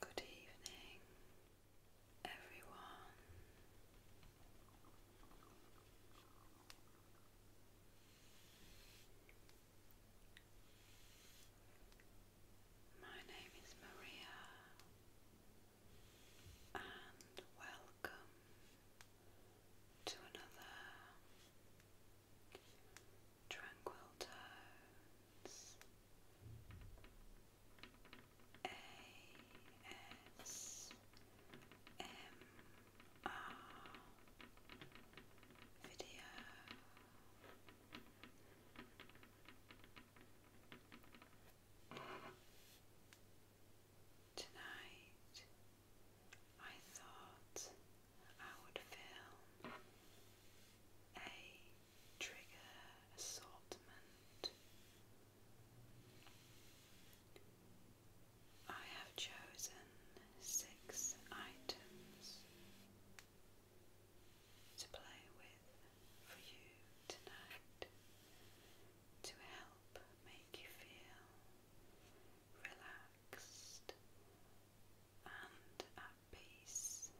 Good evening, everyone. My name is Maria, and welcome to another Tranquil Tones video. Tonight I thought I would film a trigger assortment. I have chosen six items to play with for you tonight to help make you feel relaxed and at peace.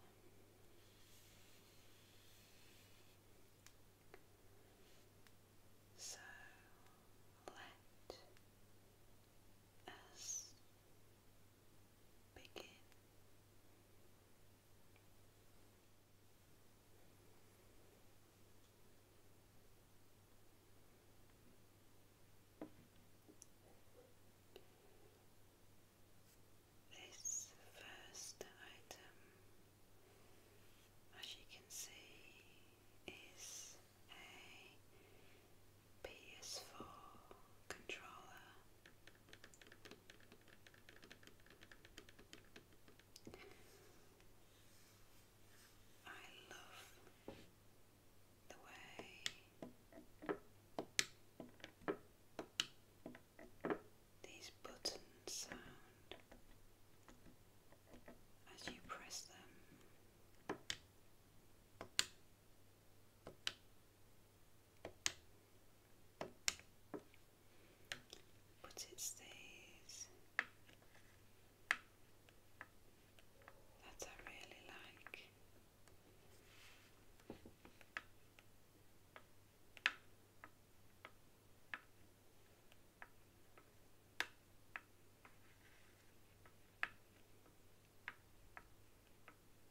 So let us begin. This first item, as you can see, is a PS4 controller. I love the way these buttons sound as you press them. But it stays. That I really like.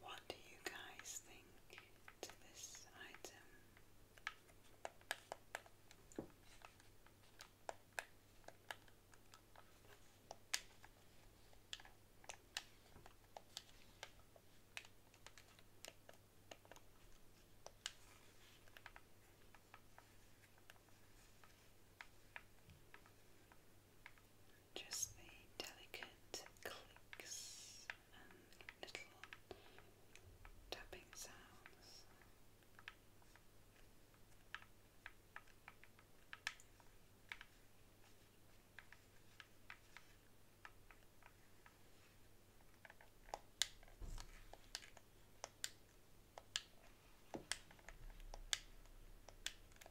What do you guys think to this item? just the delicate clicks and little tapping sounds.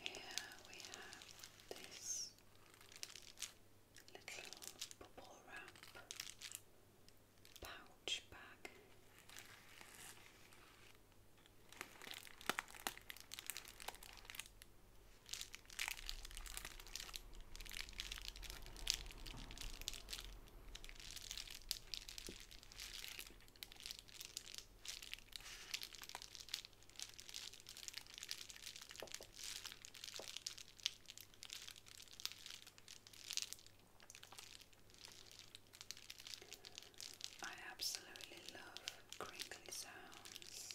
Here we have this little bubble wrap pouch bag. I absolutely love crinkly sounds.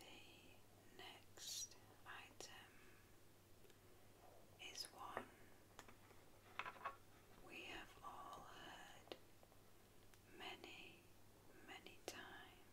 The next item is one we have all heard many, many times.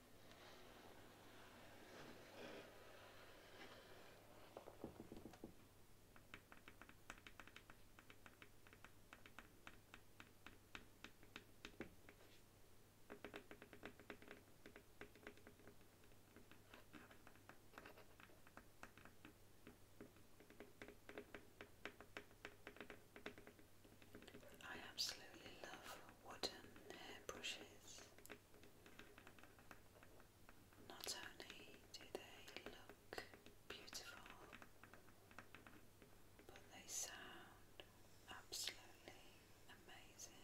I absolutely love wooden hairbrushes. Not only do they look beautiful, but they sound absolutely amazing.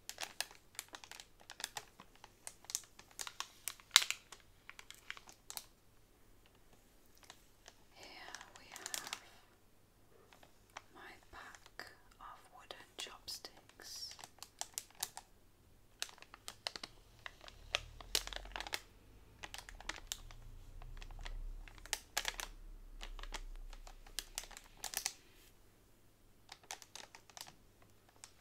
Here we have my pack of wooden chopsticks.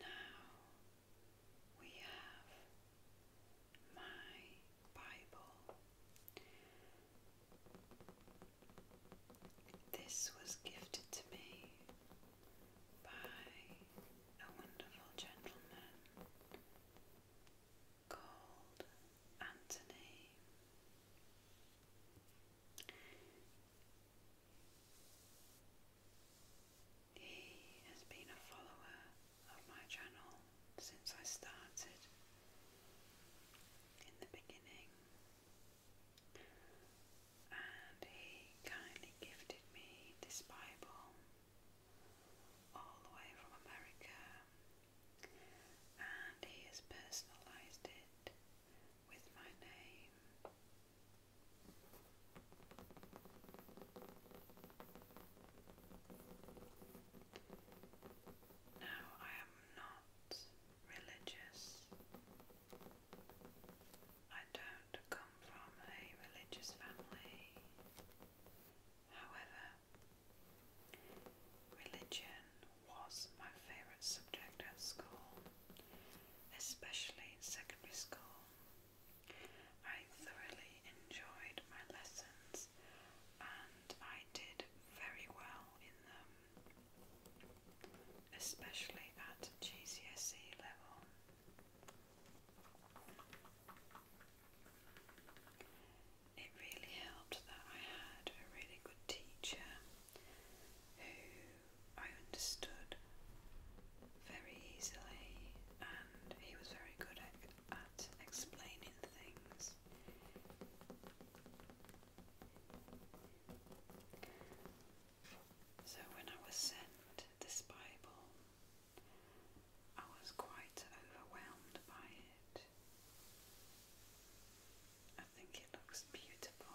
Now we have my Bible. This was gifted to me by a wonderful gentleman called Anthony. He has been a follower of my channel since I started in the beginning, and he kindly gifted me this Bible all the way from America, and he has personalized it with my name. Now, I am not religious. I don't come from a religious family. However, religion was my favourite subject at school, especially in secondary school. I thoroughly enjoyed my lessons and I did very well in them, especially at GCSE level. It really helped that I had a really good teacher who I understood very easily, and he was very good at at explaining things. So, when I was sent this Bible, I was quite overwhelmed by it. I think it looks beautiful.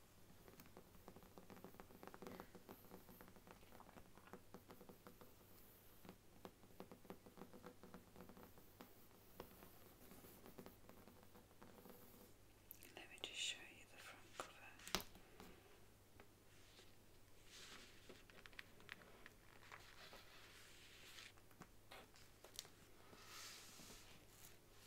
Let me just show you the front cover.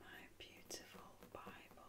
My beautiful Bible.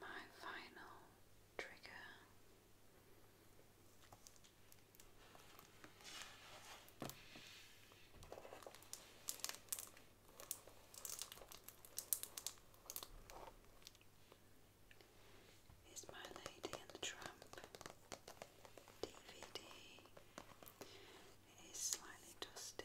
my final trigger. Is My Lady and the Tramp DVD. It is slightly dusty,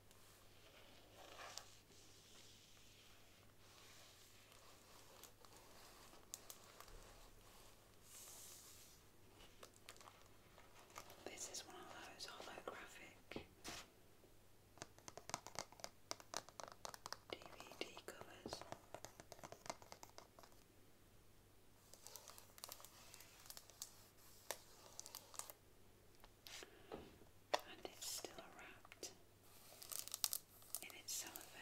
This is one of those holographic DVD covers and it's still wrapped in its cellophane.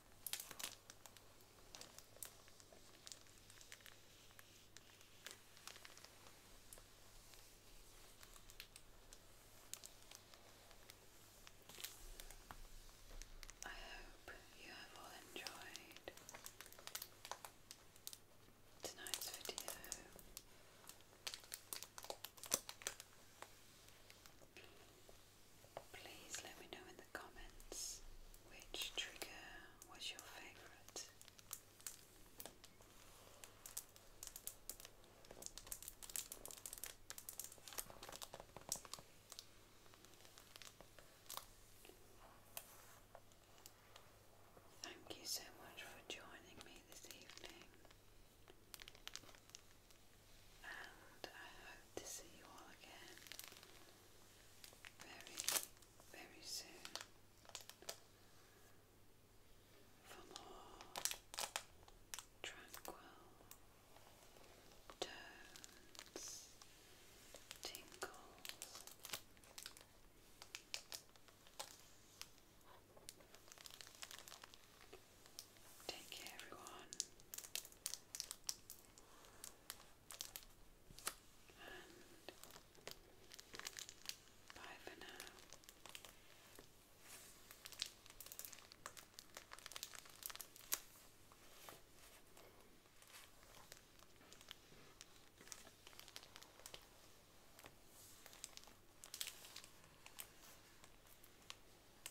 I hope you have all enjoyed tonight's video. Please let me know in the comments which trigger was your favourite. Thank you so much for joining me this evening, and I hope to see you all again very, very soon for more tranquil tones, tingles. Take care, everyone. And bye for now.